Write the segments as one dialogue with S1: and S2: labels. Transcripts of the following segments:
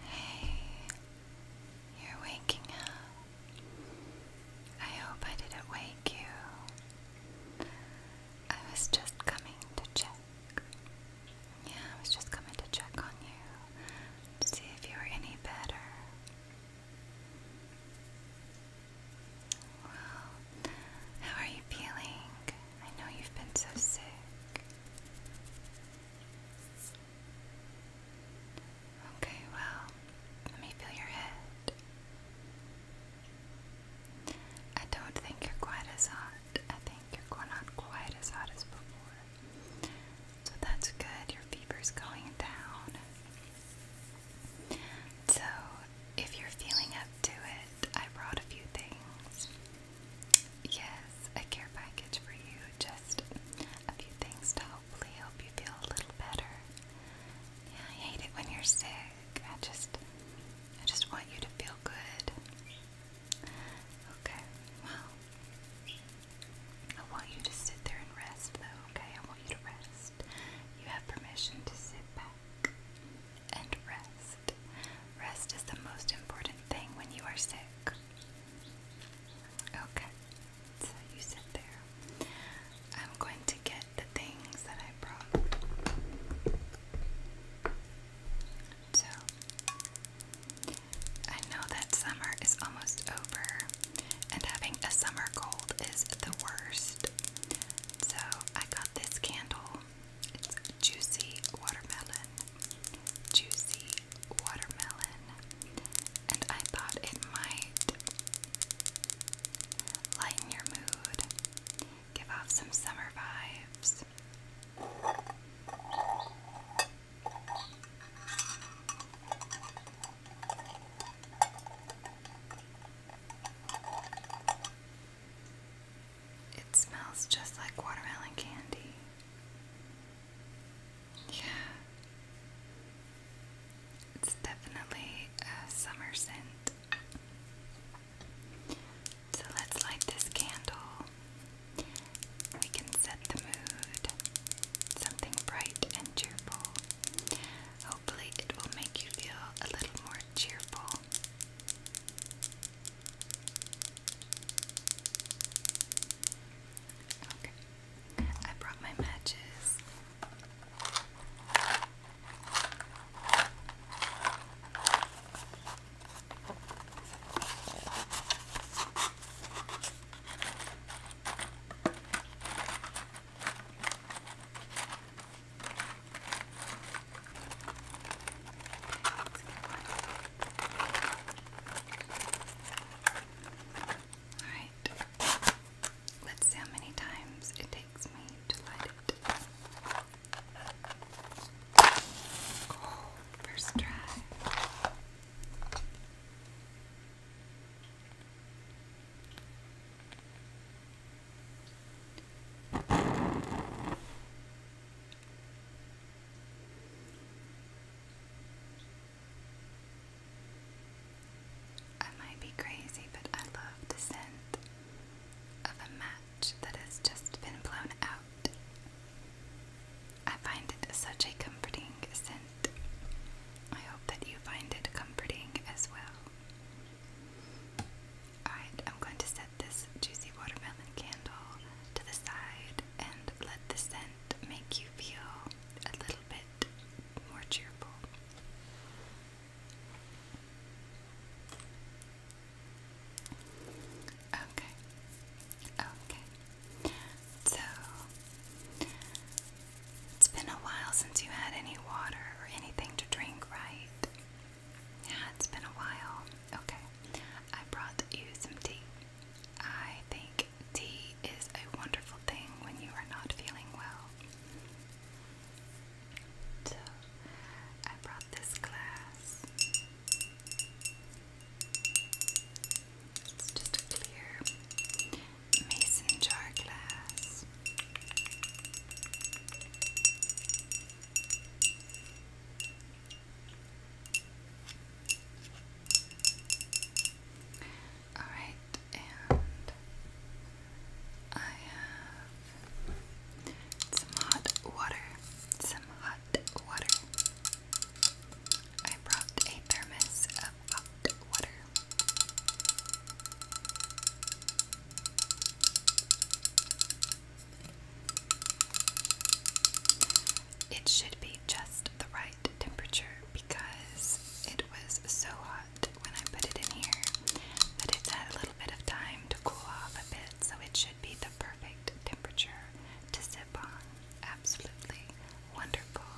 S1: Hey, you're waking up. I hope I didn't wake you. I was just coming to check. Yeah, I was just coming to check on you to see if you were any better. Well, how are you feeling? I know you've been so sick. Okay, well, let me feel your head. I don't think you're quite as hot. I think you're not quite as hot as before. So that's good. Your fever's going down. So if you're feeling up to it, I brought a few things. Yes, a care package for you. Just a few things to hopefully help you feel a little better. I hate it when you're sick. I just, I just want you to feel good. Okay, well, I want you to sit there and rest, though. Okay, I want you to rest. You have permission to sit back and rest. Rest is the most important thing when you are sick. Okay, so you sit there. I'm going to get the things that I brought. So, I know that summer is almost over, and having a summer cold is the worst. So, I got this candle it's juicy watermelon, juicy watermelon, and I thought it might lighten your mood, give off some summer vibes. It smells just like watermelon candy. Yeah. It's definitely a summer scent. So let's light this candle. We can set the mood. Something bright and cheerful. Hopefully, it will make you feel a little more cheerful. Okay. I brought my matches. Let's get one. Alright. Let's see how many times it takes me to light it. Oh, first try. I might be crazy, but I love the scent of a match that has just been blown out. I find it such a comforting scent. I hope that you find it comforting as well. I'm going to set this juicy watermelon candle to the side and let the scent make you feel a little bit more cheerful. Okay, okay. So, it's been a while since you had any water or anything to drink, right? Yeah, it's been a while. Okay, I brought you some tea. I think tea is a wonderful thing when you are not feeling well. So, I brought this glass. It's just a clear mason jar glass. All right, and I have some hot water. Some hot water. I brought a thermos of hot water. It should be just the right temperature because it was so hot when I put it in here but it's had a little bit of time to cool off a bit, so it should be the perfect temperature to sip on. Absolutely wonderful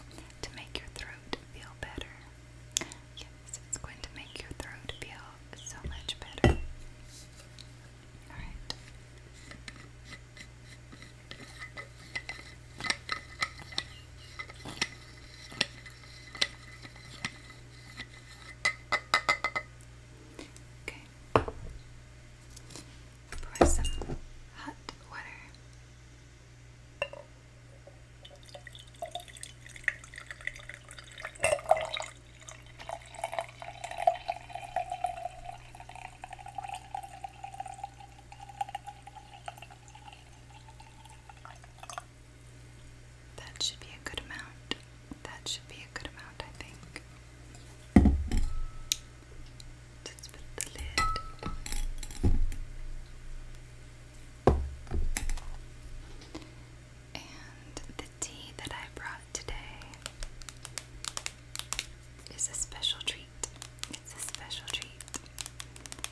S1: to make your throat feel better. Yes, it's going to make your throat feel so much better. All right. Okay. Pour some hot water. That should be a good amount. That should be a good amount, I think. Let's put the lid. And the tea that I brought today it's a special treat. It's a special treat.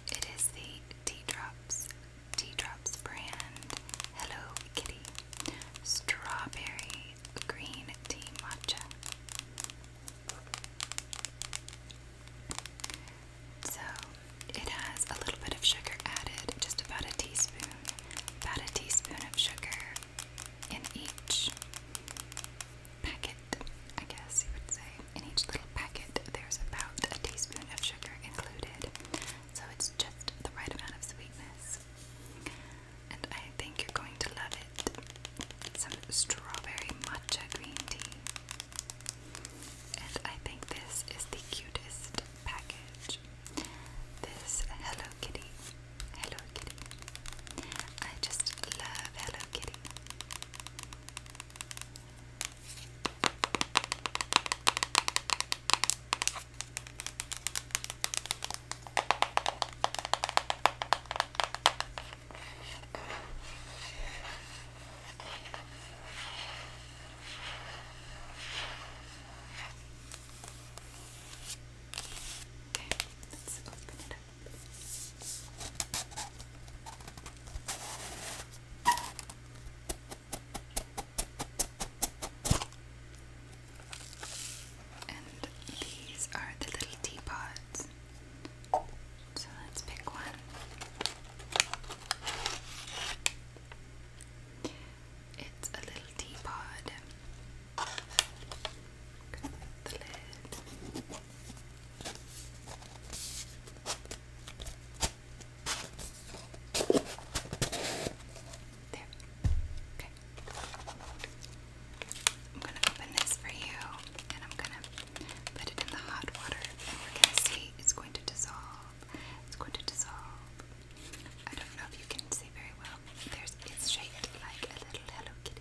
S1: It is the Tea Drops, brand Hello Kitty Strawberry Green Tea Matcha. So it has a little bit of sugar added, just about a teaspoon, about a teaspoon of sugar in each packet, I guess you would say. In each little packet, there's about a teaspoon of sugar included, so it's just the right amount of sweetness. And I think you're going to love it. Some strawberry matcha green tea. And I think this is the cutest package. This Hello Kitty Hello Kitty. I just love Hello Kitty. Okay, let's open it up. And these are the little teapots. So let's pick one. It's a little teapot. I'm gonna open this for you and I'm gonna put it in the hot water and we're gonna see it's going to dissolve. It's going to dissolve. I don't know if you can see very well. There's it's shaped like a little Hello Kitty.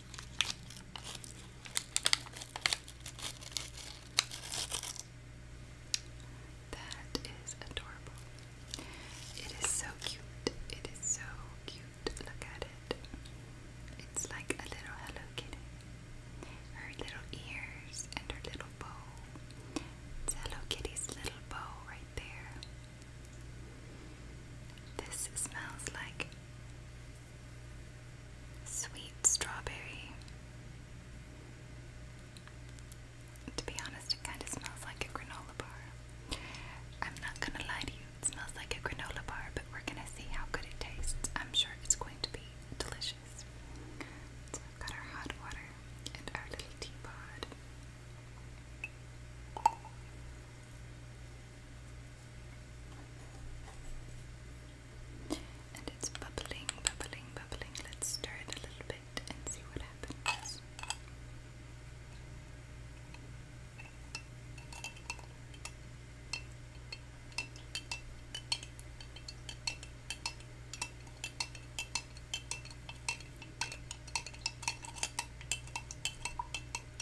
S1: That is adorable. It is so cute. It is so cute. Look at it. It's like a little Hello Kitty. Her little ears and her little bow. It's Hello Kitty's little bow right there. This smells like sweet strawberry. To be honest, it kind of smells like a granola bar. I'm not gonna lie to you, it smells like a granola bar, but we're gonna see how good it tastes. I'm sure it's going to be delicious. So we've got our hot water and our little teapot. And it's bubbling, bubbling, bubbling. Let's stir it a little bit and see what happens.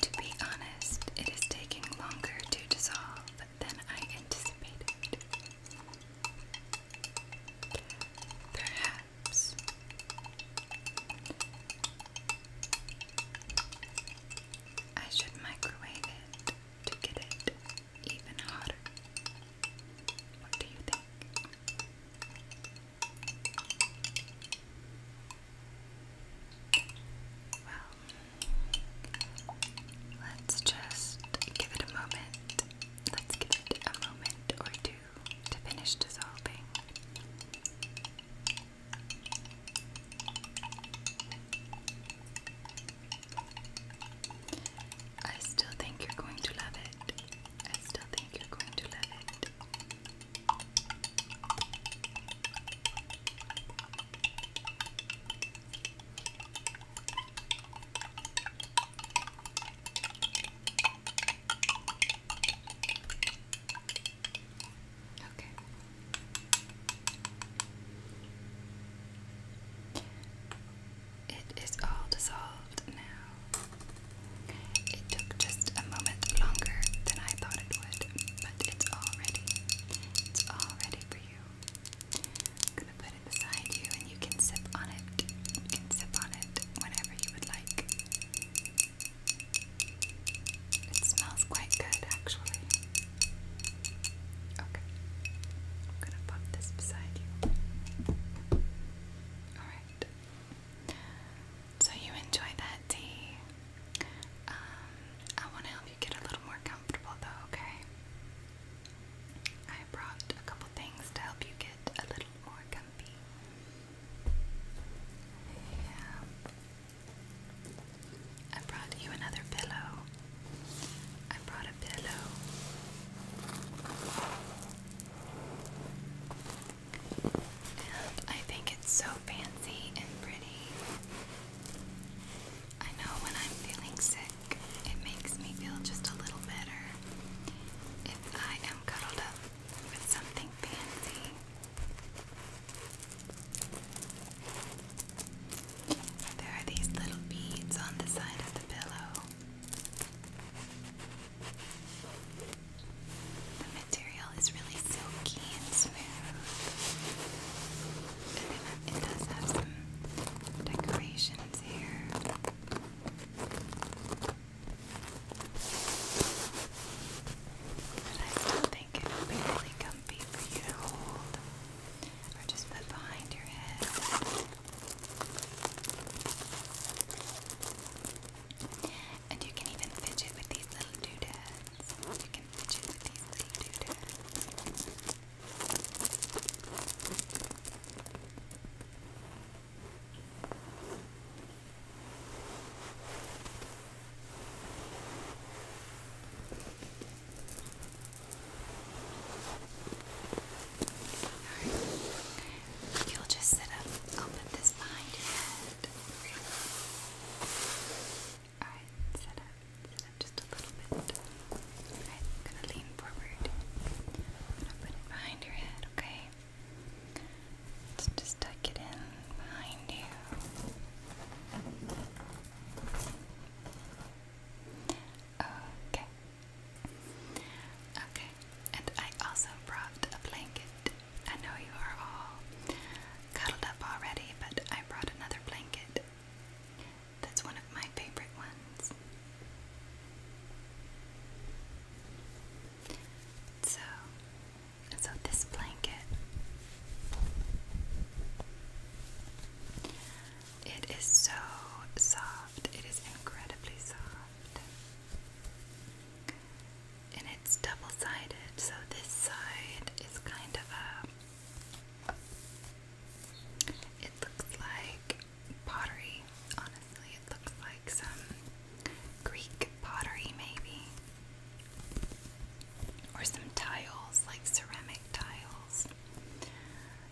S1: To be honest, it is taking longer to dissolve than I anticipated. Perhaps. I should microwave it to get it even hotter. What do you think? Well, let's just give it a moment. Let's give it a moment or two to finish dissolving. I still think you're going to love it. I still think you're going to love it. Okay. It is all dissolved now. It took just a moment longer than I thought it but it's all ready. It's all ready for you. I'm gonna put it beside you and you can sip on it. sip on it whenever you would like. It smells quite good actually. Okay. I'm gonna pop this beside you. Alright. So you enjoy that tea. Um, I want to help you get a little more comfortable though, okay? I brought a couple things to help you get a little more comfy. Yeah. I brought you another pillow. I brought a pillow. And I think it's so fancy and pretty. I know when I'm feeling sick, it makes me feel just a little better if I am cuddled up with something fancy. There are these little beads on the side of the pillow material is really silky and smooth. it, does have some decorations here. But I still think it would be really comfy for you to hold or just put behind your head. And you can even fidget with these little doodads can fidget with these little doodles. Alright, you'll just sit up, I'll put this behind your head. Okay. Alright, set up, set up just a little bit. Alright, gonna lean forward. gonna put it behind your head, okay? Let's just tuck it in behind you. Okay. Okay, and I also brought a blanket. I know you are all cuddled up already, but I brought another blanket. That's one of my favorite ones. So, so this blanket, it is so soft. It is incredibly soft. And it's double-sided, so this side is kind of a it looks like pottery, honestly. It looks like some Greek pottery, maybe. Or some tiles, like ceramic tiles.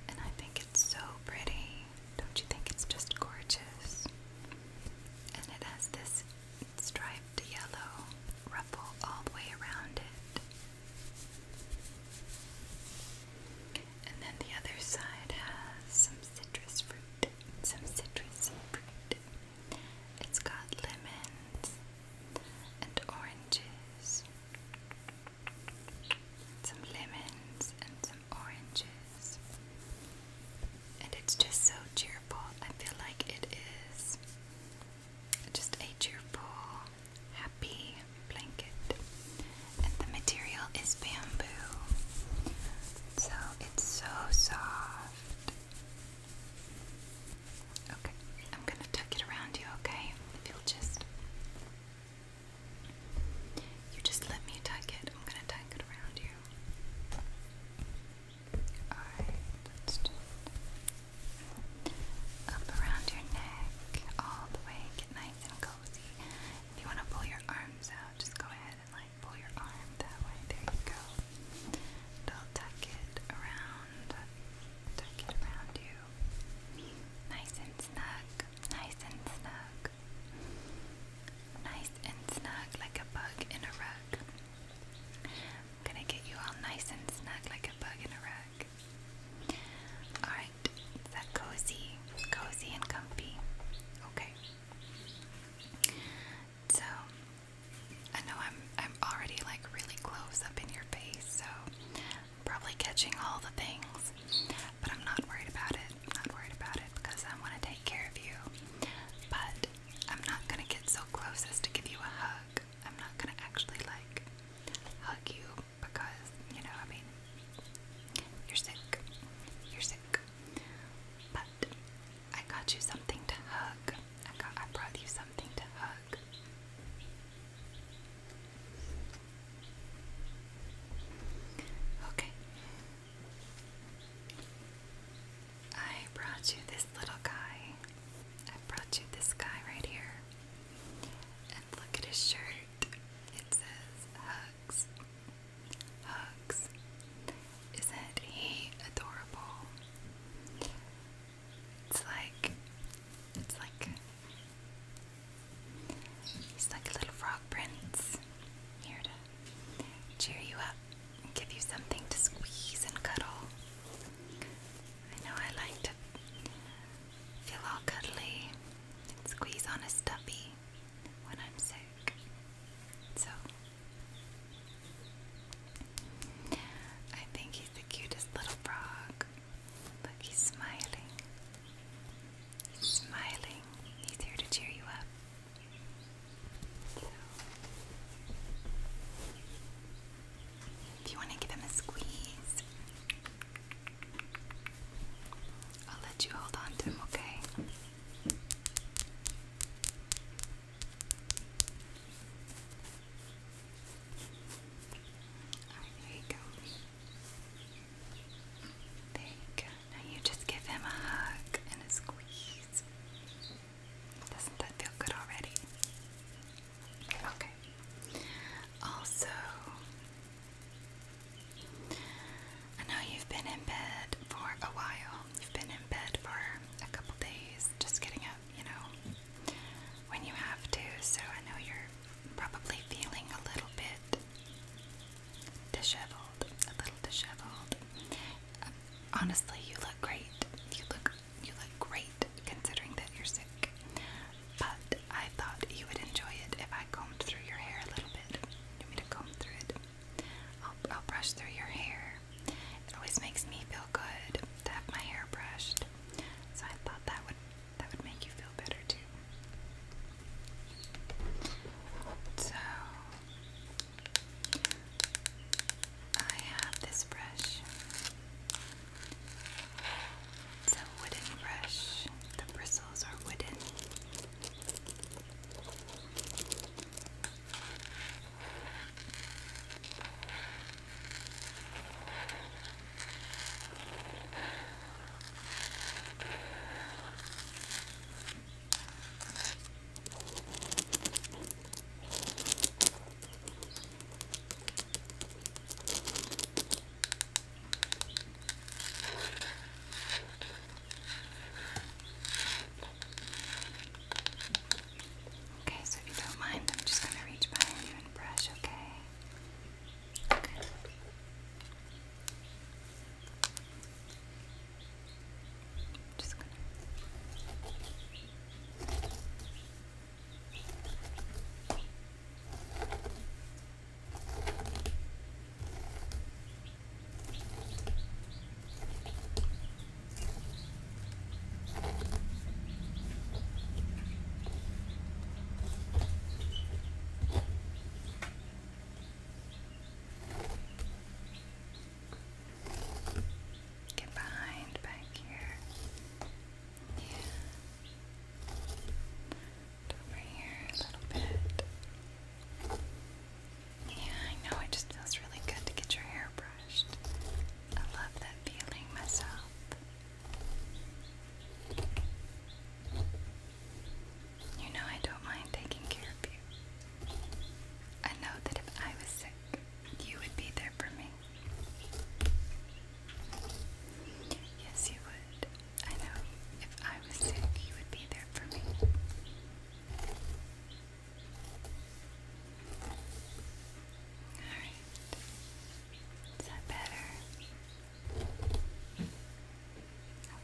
S1: And I think it's so pretty. Don't you think it's just gorgeous? And it has this striped yellow ruffle all the way around it. And then the other side has some citrus fruit. Some citrus fruit. It's got lemons and oranges. Some lemons and some oranges. And it's just so cheerful. I feel like it is just a cheerful, happy blanket. And the material is bamboo, so it's so soft. Okay, I'm gonna tuck it around you, okay? If you'll just. You just let me tuck it. I'm gonna tuck it around you. Alright, let's just up around your neck, all the way, get nice and cozy. If you want to pull your arms out, just go ahead and like pull your arm that way. There you go. They'll tuck it around, tuck it around you. Nice and snug, nice and snug, nice and snug, like a bug in a rug. I'm gonna get you all nice and snug like a bug in a rug. Alright, is that cozy? Cozy and comfy. Okay. So I know I'm I'm already like really close up in your face, so I'm probably catching all the things. But I'm not worried about it. I'm not worried about it because I want to take care of you. But I'm not gonna get so close as to give you a hug. I'm not gonna actually like hug you because, you know, I mean, you're sick. You're sick. But I got you something to hug. I got I brought you something to hug. Okay. I brought you this little guy. I brought you this guy right here. And look at his shirt. It says Hugs. Hugs. Isn't he adorable? It's like it's like he's like a little frog prince here to cheer you up and give you something to squeeze and cuddle. I know I like to feel all cuddly and squeeze on a stubby when I'm sick. So, I think he's the cutest little frog. Look, he's smiling. He's smiling. He's here to cheer you up. If you want to give him a squeeze, I'll let you hold on to him, okay? Alright, there you go. There you go. Now you just give him a hug and a squeeze. Doesn't that feel good already? Okay. Also, I know you've been in bed for a while. You've been in bed for a couple days, just getting up, you know, when you have to. So I know you're probably feeling a little bit disheveled, a little disheveled. honestly, you look great. You look you look great considering that you're sick. But I thought you would enjoy it if I combed through your hair a little bit. You want to comb through it? I'll, I'll brush through your hair. It always makes me feel good to have my hair brushed. So I thought that would that would make you feel better too. So I have this brush. It's a wooden brush. The bristles are wooden. Okay, so if you don't mind, I'm just going to reach behind you and brush, okay? Okay. Just gonna. Get behind back here. And over here a little bit. Yeah, I know, it just feels really good to get your hair brushed. I love that feeling myself. You know, I don't mind taking care of you. I know that if I was sick, you would be there for me. Yes, you would. I know. If I was sick, you would be there for me. Alright. Is that better?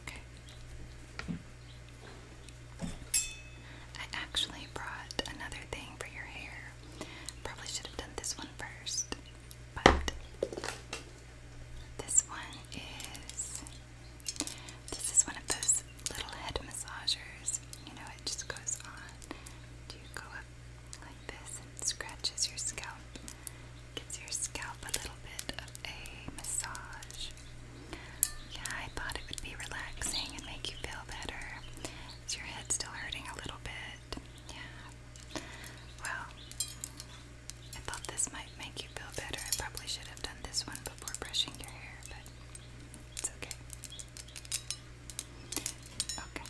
S1: Okay. I actually brought another thing for your hair. Probably should have done this one first. But this one is this is one of those little head massagers. You know, it just goes on. you go up like this and scratches your scalp? Gives your scalp a little bit of a massage. Yeah, I thought it would be relaxing and make you feel better. Is your head still hurting a little bit? Yeah, well, I thought this might make you feel better. I probably should have done this one before brushing your hair, but it's okay. Okay.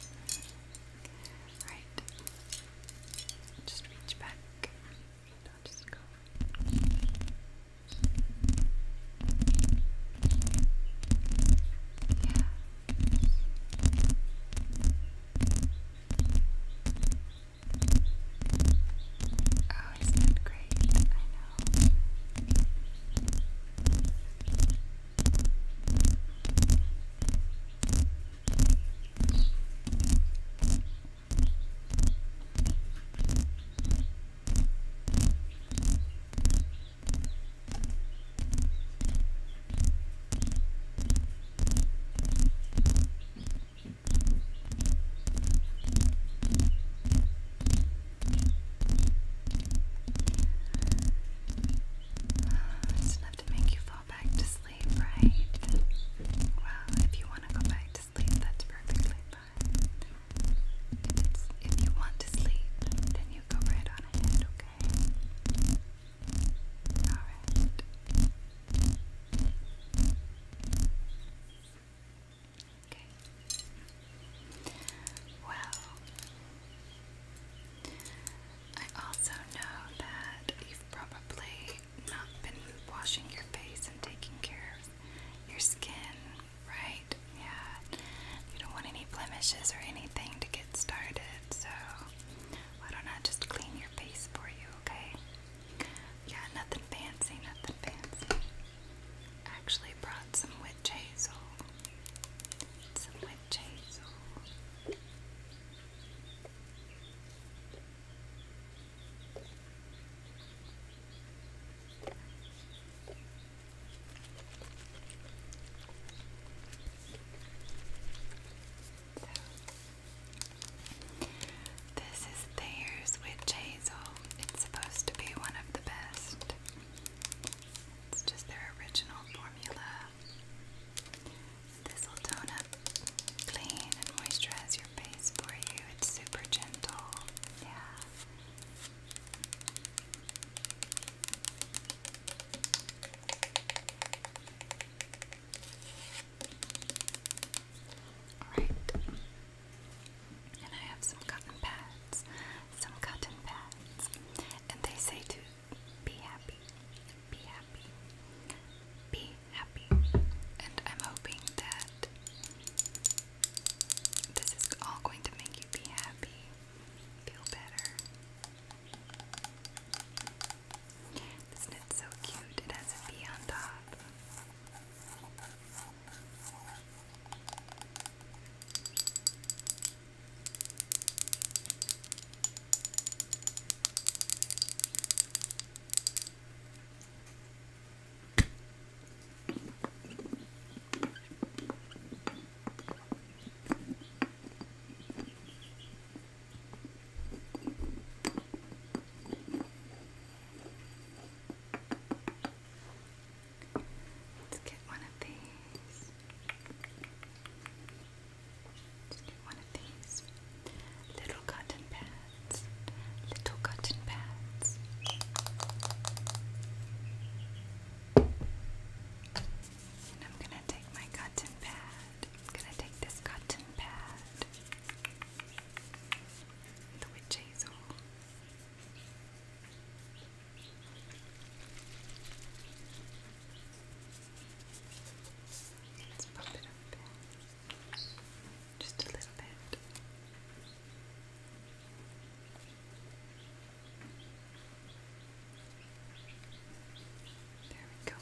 S1: Right. Just reach back. I'll just go. Yeah, Oh, isn't it great? I know. I it's enough to make you fall back to sleep, right? Well, if you want to go back to sleep, that's perfectly fine. If, you want to sleep, then you go right on ahead, okay? Alright. Okay. Well, I also know that you've probably not been washing your face and taking care of your skin, right? Yeah. You don't want any blemishes or anything to get started, so why don't I just clean your face for you, okay? Yeah, nothing fancy, nothing fancy. Actually brought some witch hazel. Some witch hazel this is theirs Witch Hazel. It's supposed to be one of the best. It's just their original formula. This will tone up, clean, and moisturize your face for you. It's super gentle. Yeah. Alright. And I have some cotton pads. Some cotton pads. And they say to be happy. Be happy. Be happy. And I'm hoping that this is all going to make you be happy. Feel better. Isn't it so cute? It has a bee on top. Let's get one of these. let get one of these. Little cotton pads. Little cotton pads. I'm gonna take my cotton pad. I'm gonna take this cotton pad, the witch hazel. Let's pop it up there. Just a little bit. There we go.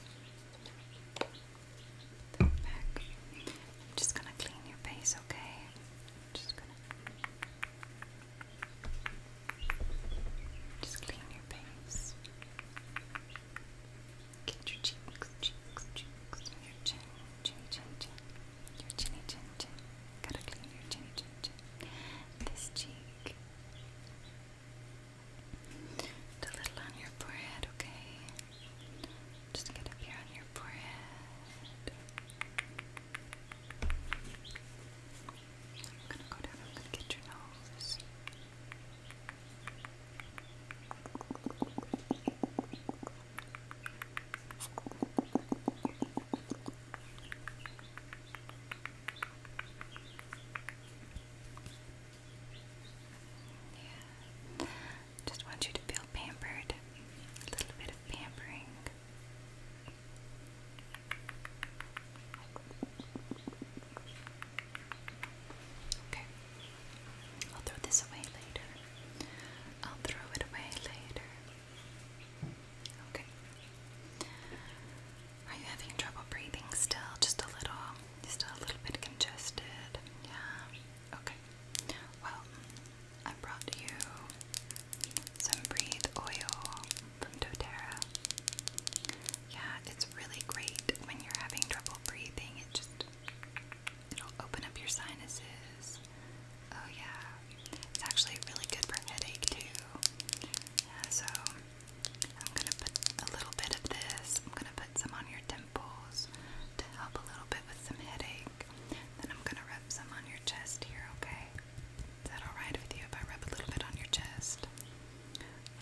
S1: I'm just gonna clean your face, okay? just gonna just clean your face. Get your cheeks, cheeks, cheeks, your chin, chin, chin, chin, your chinny chin chin. Gotta clean your chinny chin chin. This cheek. Just a little on your forehead, okay? Just get up here on your forehead. I'm gonna go down, i get your nose. Yeah. Just want you to feel pampered. A little bit of pampering. Okay. I'll throw this away later. I'll throw it away later. Okay. Are you having trouble breathing still? Just a little. just a little bit congested. Yeah. Okay. Well, I brought you some Breathe Oil from doTERRA. Yeah, it's really great when you're having trouble breathing. It just it'll open up your sinuses. Oh yeah. It's actually really good for headache too. Yeah, so I'm going to put a little bit of this, I'm going to put some on your temples to help a little bit with some headache. Then I'm going to rub some on your chest here, okay? Is that alright with you if I rub a little bit on your chest?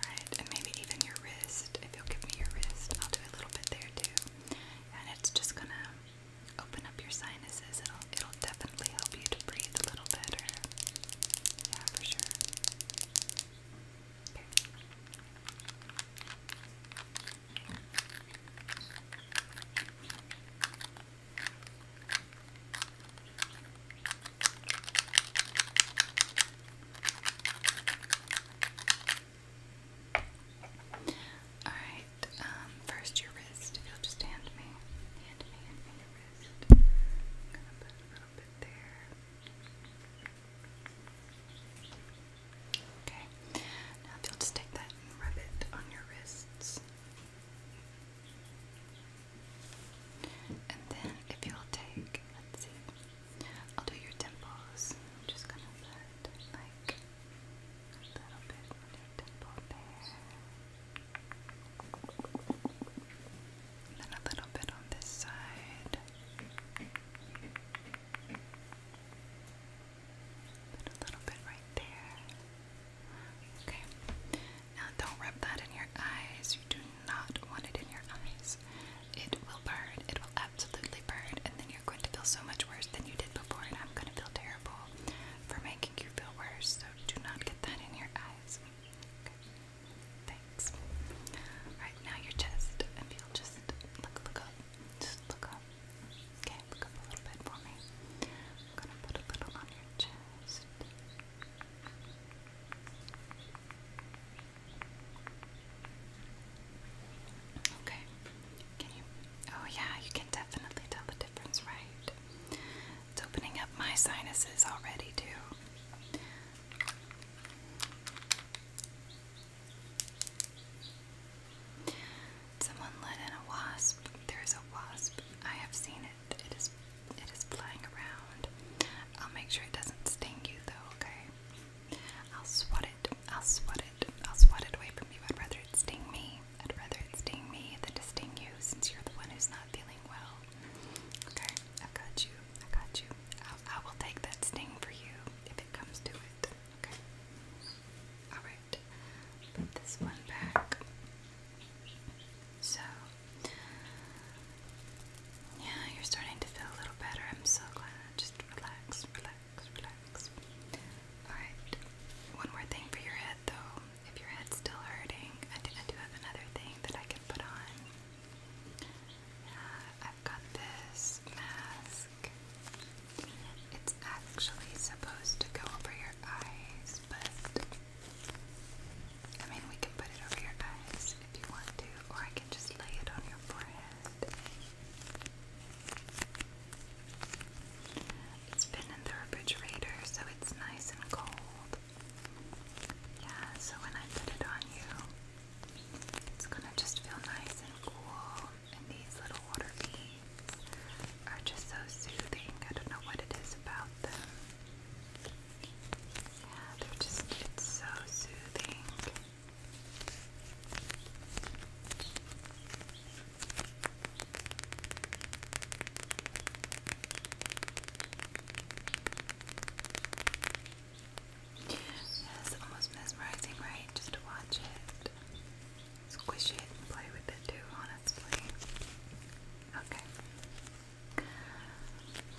S1: Alright, and maybe even your wrist. If you'll give me your wrist, I'll do a little bit there too. And it's just going to open up your sinuses. It'll, it'll definitely help you to breathe a little better. Yeah, for sure. Alright, um, first your wrist. If you'll just hand me, hand me, hand me your wrist. gonna put a little bit there. Okay, now if you'll just take that and rub it on your wrists. And then if you'll take, let's see, I'll do your temples. I'm just gonna put like a little bit on your temple there. then a little bit on this side. Put a little bit right there. Okay. Now don't rub that in your eyes. You do not want it in your eyes. It will burn. It will absolutely burn. And then you're going to feel so much worse than you did before. And I'm going to feel terrible for making you feel worse. So do not get that in your eyes. Thanks. Alright, now your chest. If you just look, look up. Just look up. Okay, look up a little bit for me. I'm gonna put a little on your chest. Okay. Can you? Oh, yeah, you can definitely tell the difference, right? It's opening up my sinuses already, too. Someone let in a wasp. There's a wasp. I have seen it. It is it is flying around. I'll make sure it doesn't sting you though, okay? I'll swat it. I'll swat it. I'll swat it away from you. I'd rather it sting me. I'd rather it sting me than to sting you since you're the one who's not feeling well. Okay, i got you. I got you. I'll, take that sting for you if it comes to it. Okay. All right. Put this one back. So, yeah, you're starting to feel a little better. I'm so glad. Just relax, relax, relax. Alright, one more thing for your head though. If your head's still hurting, I do, have another thing that I can put on. Uh, got this mask. It's actually supposed to go over your eyes, but I mean, we can put it over your eyes if you want to, or I can just lay it on your forehead. It's been in the refrigerator, so it's nice and cold. Yeah, so when I put it on you, it's gonna just feel nice and cool, and these little water beads are just so soothing. I don't know what it is about them. Yeah, they're just, it's so soothing. It's almost mesmerizing, right? Just to watch it, squish it, and play with it too, honestly. Okay.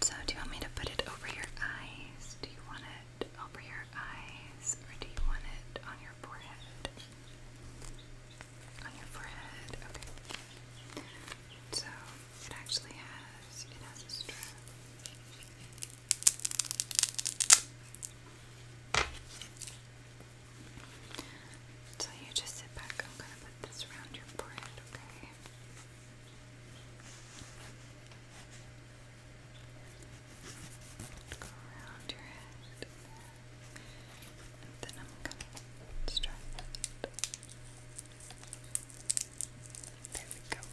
S1: So, do you want me to put it over your eyes? Do you want it over your eyes, or do you want it on your forehead? On your forehead, okay. So, it actually has, it has a strap. So you just sit back. I'm gonna put this around your forehead, okay? Go around your head. And then I'm gonna start. There we go.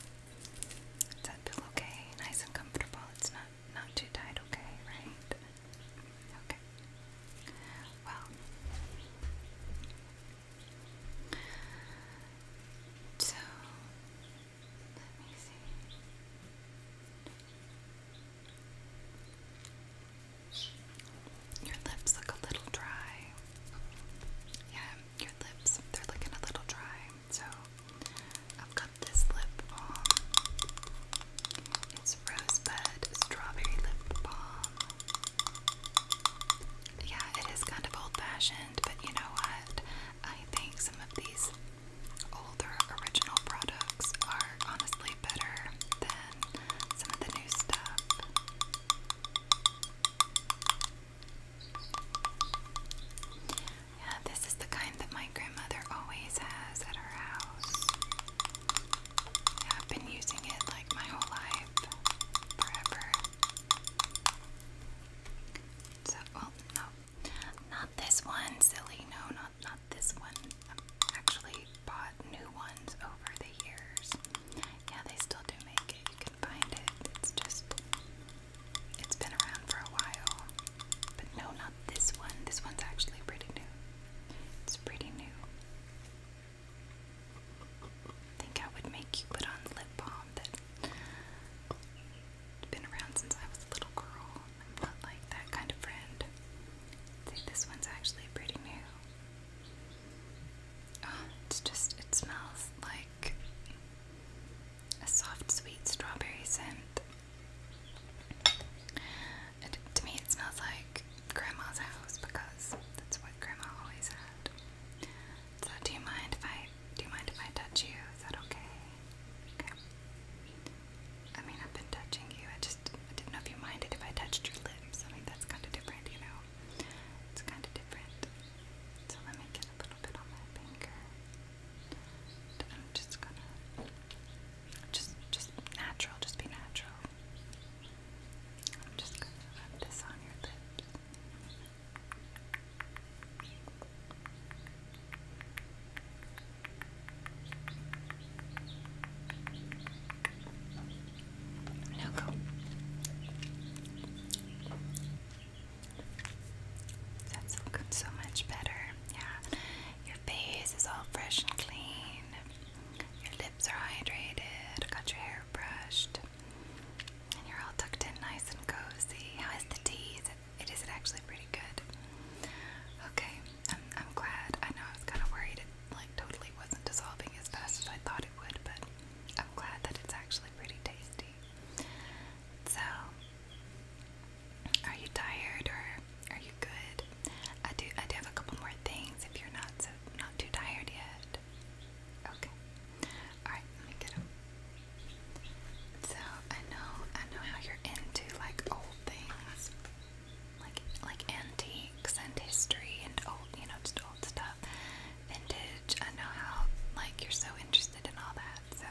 S1: Is that feel okay? Nice and comfortable. It's not not too tight, okay, right? Okay. Well, so let me see. Your lips look a little dry. Yeah, your lips, they're looking a little dry. So I've got this lip balm. It's Rosebud Strawberry Lip Balm. Yeah, it is kind of old fashioned, but you know what? I think some of these older original products are honestly better than some of the new stuff. Yeah, this is the kind that my grandmother always has at her house. Yeah, I've been using it like my whole life, forever. So, well, no, not this one, silly. No, not not this one. I've actually bought new ones over the years. Yeah, they still do make it. You can find it. It's just it's been around for a while. But no, not this one. This one's actually pretty new. It's pretty new. think I would make you put on lip balm that been around since I was a little girl. I'm not like that kind of friend. I this one's actually pretty new. Ah, it's just, it smells like a soft, sweet strawberry scent. to me, it smells like Grandma's house because that's what Grandma always had. So, do you mind if I do you mind if I touch you? Is that okay? Okay. I mean, I've been touching you. I just I didn't know if you minded if I touched your lips. I mean, that's kind of different, you know. It's kind of different. So let me get a little bit on my finger. I'm just gonna just just natural, just be natural. I'm just gonna rub this on your lips. Now go. That's looking so much better. Yeah, your face is all fresh and clean. Your lips are hydrated. I Got your hair brushed, and you're all tucked in, nice and cozy. How is the tea? Is It is it actually pretty good. Okay, I'm I'm glad. I know I was kind of worried it like totally wasn't dissolving as fast as I thought it would, but I'm glad that it's actually pretty tasty. So, are you tired or are you good? I do. I do have a couple more things if you're not so not too tired yet. Okay. All right. Let me get them. So I know. I know how you're into like old things, like like antiques and history and old. You know, just old stuff. Vintage. I know how like you're so interested in all that. So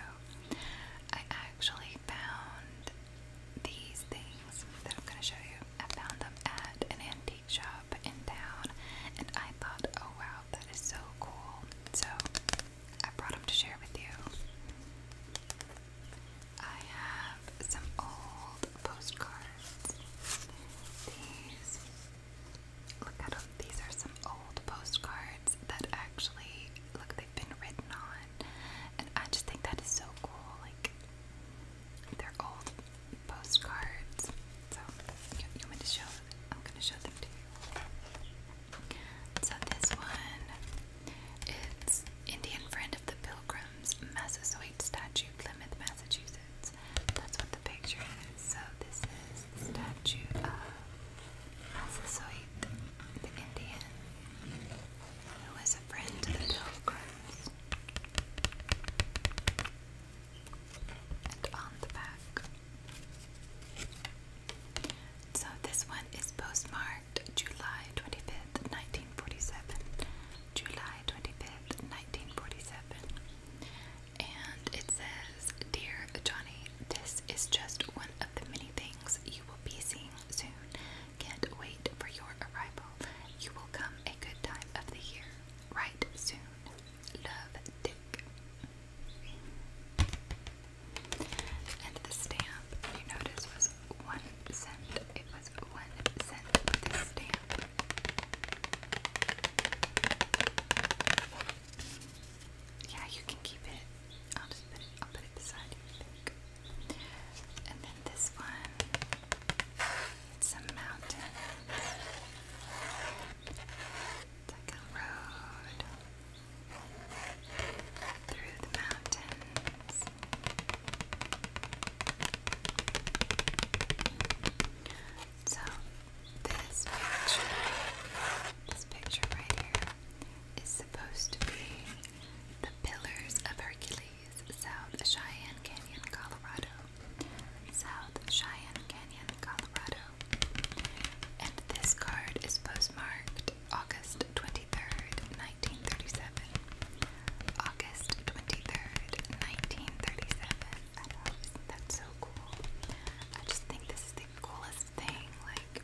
S1: I actually found these things that I'm going to show you. I found them at an antique shop in town, and I thought, oh wow, that is so cool. So I brought them to share with you. I have some old postcards. These look at um, these are some old postcards that actually look they've been written on, and I just think that is so cool. Like they're old postcards. So you, want me to show? I'm gonna show them to you. So this one, is Indian friend of the Pilgrims Massasoit statue, Plymouth, Massachusetts. That's what the picture is. So this is the statue of Massasoit the Indian, who a friend to the pilgrims. And on the back. So this one is postmarked July 25th, 1947. July 25th, 1947. And it says, Dear Johnny, this is just one of the many things you will be seeing soon. Can't wait for your arrival. You will come a good time of the year. Right soon. Love, Dick. And the stamp, you notice, was one cent. It was one cent yeah, you can keep it. I'll just put it. I'll put it beside And then this one. It's a mountain. It's like a road through the mountains. So this picture, this picture right here, is supposed to be the Pillars of Hercules, South Cheyenne Canyon, Colorado. South Cheyenne Canyon, Colorado. And this card is postmarked August 23rd, 1937. August 23rd, 1937. I so cool? I just think this is the coolest thing. Like,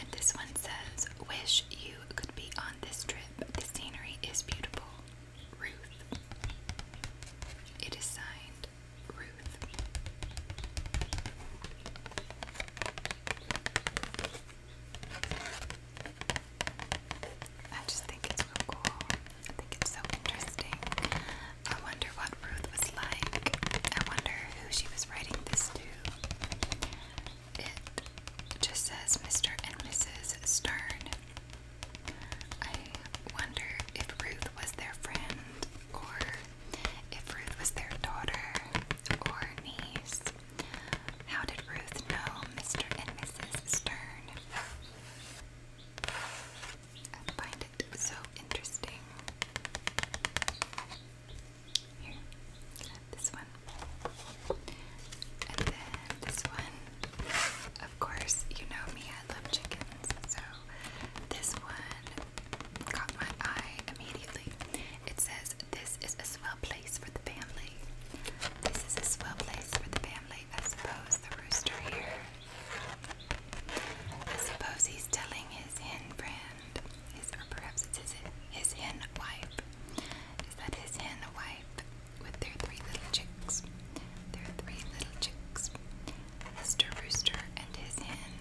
S1: and this one says, Wish you could be on this trip. The scenery is beautiful. Ruth. It is signed Ruth. I just think it's real cool. I think it's so interesting. I wonder what Ruth was like. I wonder who she was writing this to. It just says Mr. and Mrs. Stern. I wonder if Ruth was their friend, or if Ruth was their daughter or niece. How did Ruth know Mr. and Mrs. Stern? I find it so interesting. Here, this one. And then this one. Of course, you know me, I love chickens. So this one caught my eye immediately. It says, This is a swell place for the family. This is a swell place for the family. I suppose the rooster here. I suppose he's telling his hen friend and or perhaps it's his, his hen wife, is that his hen wife with their three little chicks. Their three little chicks. Mr. Rooster and his hen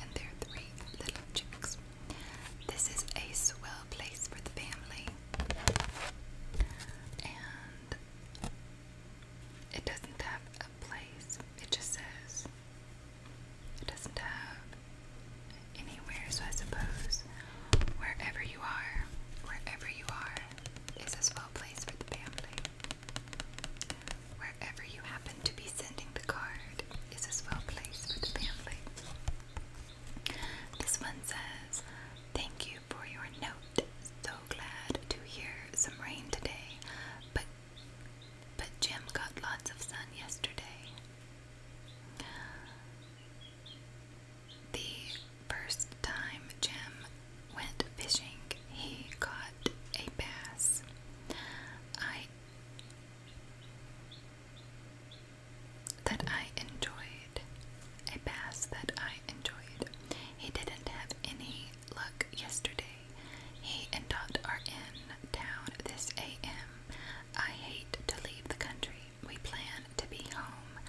S1: and their three little chicks. This is a swell place for the family. And it doesn't have a place, it just says it doesn't have anywhere, so I suppose wherever you are, wherever you are, is a swell place for the family. Wherever you happen to be sending the card is a swell place for the family. This one says, Thank you for your note. So glad to hear some rain today, but but Jim got lots of sun yesterday. The first time Jim went fishing, he caught a bass. I that I enjoyed. A bass that I enjoyed. He didn't have any luck yesterday. He and Dot are in town this AM I hate to leave the country. We plan to be home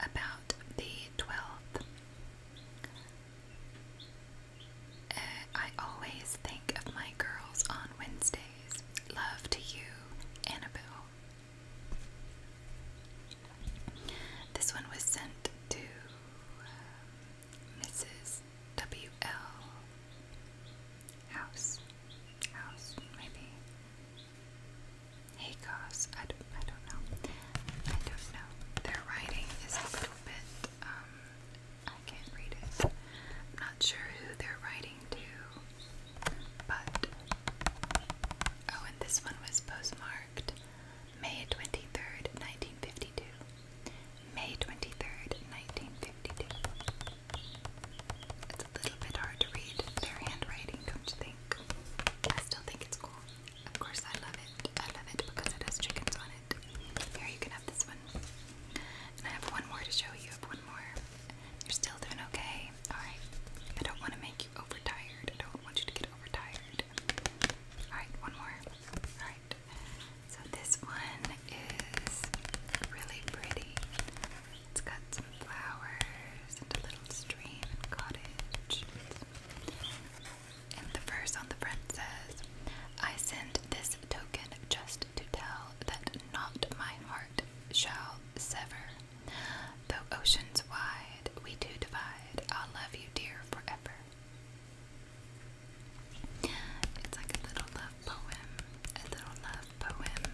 S1: about the 12th. Uh, I always think of my girls on Wednesdays. Love to you, Annabelle. This one was sent to uh, Mrs. W L House, House, maybe. Hey, cause I don't, I don't know. I don't know. Their writing is a little bit. Um, I can't read it. not sure who they're writing to, but oh, and this one was postmarked May twenty third, nineteen fifty two. May 23rd, 1952. It's a little bit hard to read their handwriting, don't you think? I still think it's cool. Of course, I love it. I love it because it has chickens on it. Here, you can have this one. And I have one more to show you. have one more. You're still doing okay. Alright. I don't want to make you overtired. I don't want you to get overtired. Alright, one more. Alright. So this one is really pretty. It's got some flowers and a little stream and cottage. And the verse on the front says, I send this token just to tell that not my heart shall sever. Though oceans wide we two divide, I'll love you dear forever. It's like a little love poem, a little love poem.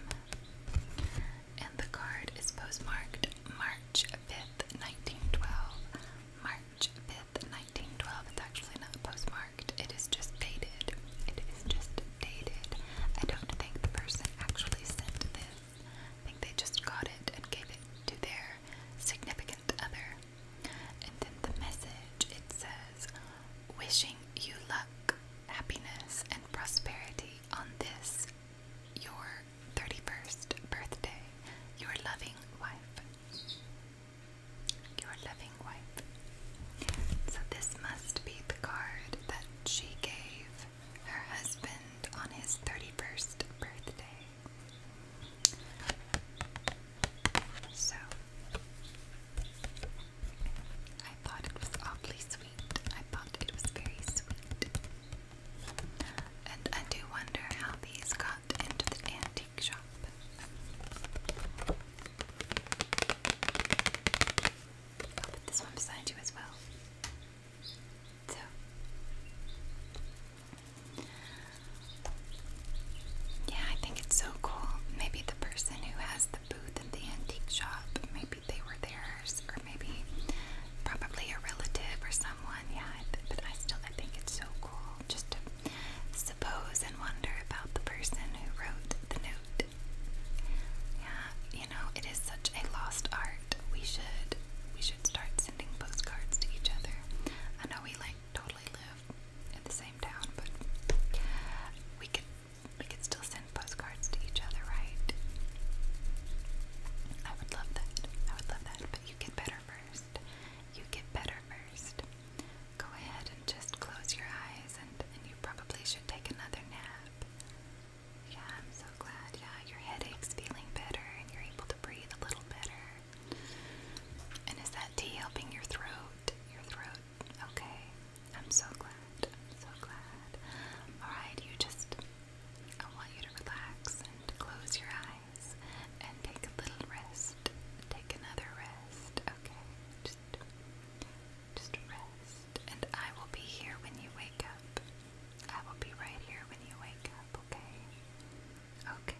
S1: And the card is postmarked March 5th, 1912. March 5th, 1912. It's actually not postmarked, it is just dated. It is just dated. I don't think the person actually sent this. I think they just got it and gave it to their significant other. And then the message it says, wishing you luck, happiness, and prosperity on this, your 31st birthday. Your loving wife. Your loving wife. So, this must be the card that she gave her husband on his 31st birthday. So, I thought it was awfully sweet. I thought it was very sweet. And I do wonder how these got into the antique shop. I'll put this one beside you as well. So. Yeah, I think it's so cool. Maybe the person who has the booth at the antique shop. Maybe they were theirs, or maybe probably a relative or someone. Yeah, but I still I think it's so cool just to suppose and wonder about the person who wrote the note. Yeah, you know it is such a lost art. We should we should start sending postcards to each other. I know we like totally live in the same town, but we could we could still send postcards to each other, right? I would love that. I would love that. But you get better first. You get better first. Go ahead and just close your eyes, and, and you probably should take another nap. Yeah, I'm so glad. Yeah, your headache's feeling better, and you're able to breathe a little better. And is that tea helping your throat? Your throat Okay, I'm so glad. I'm so glad. Alright, you just, I want you to relax and close your eyes and take a little rest. Take another rest, okay? Just, just rest. And I will be here when you wake up. I will be right here when you wake up, okay? Okay.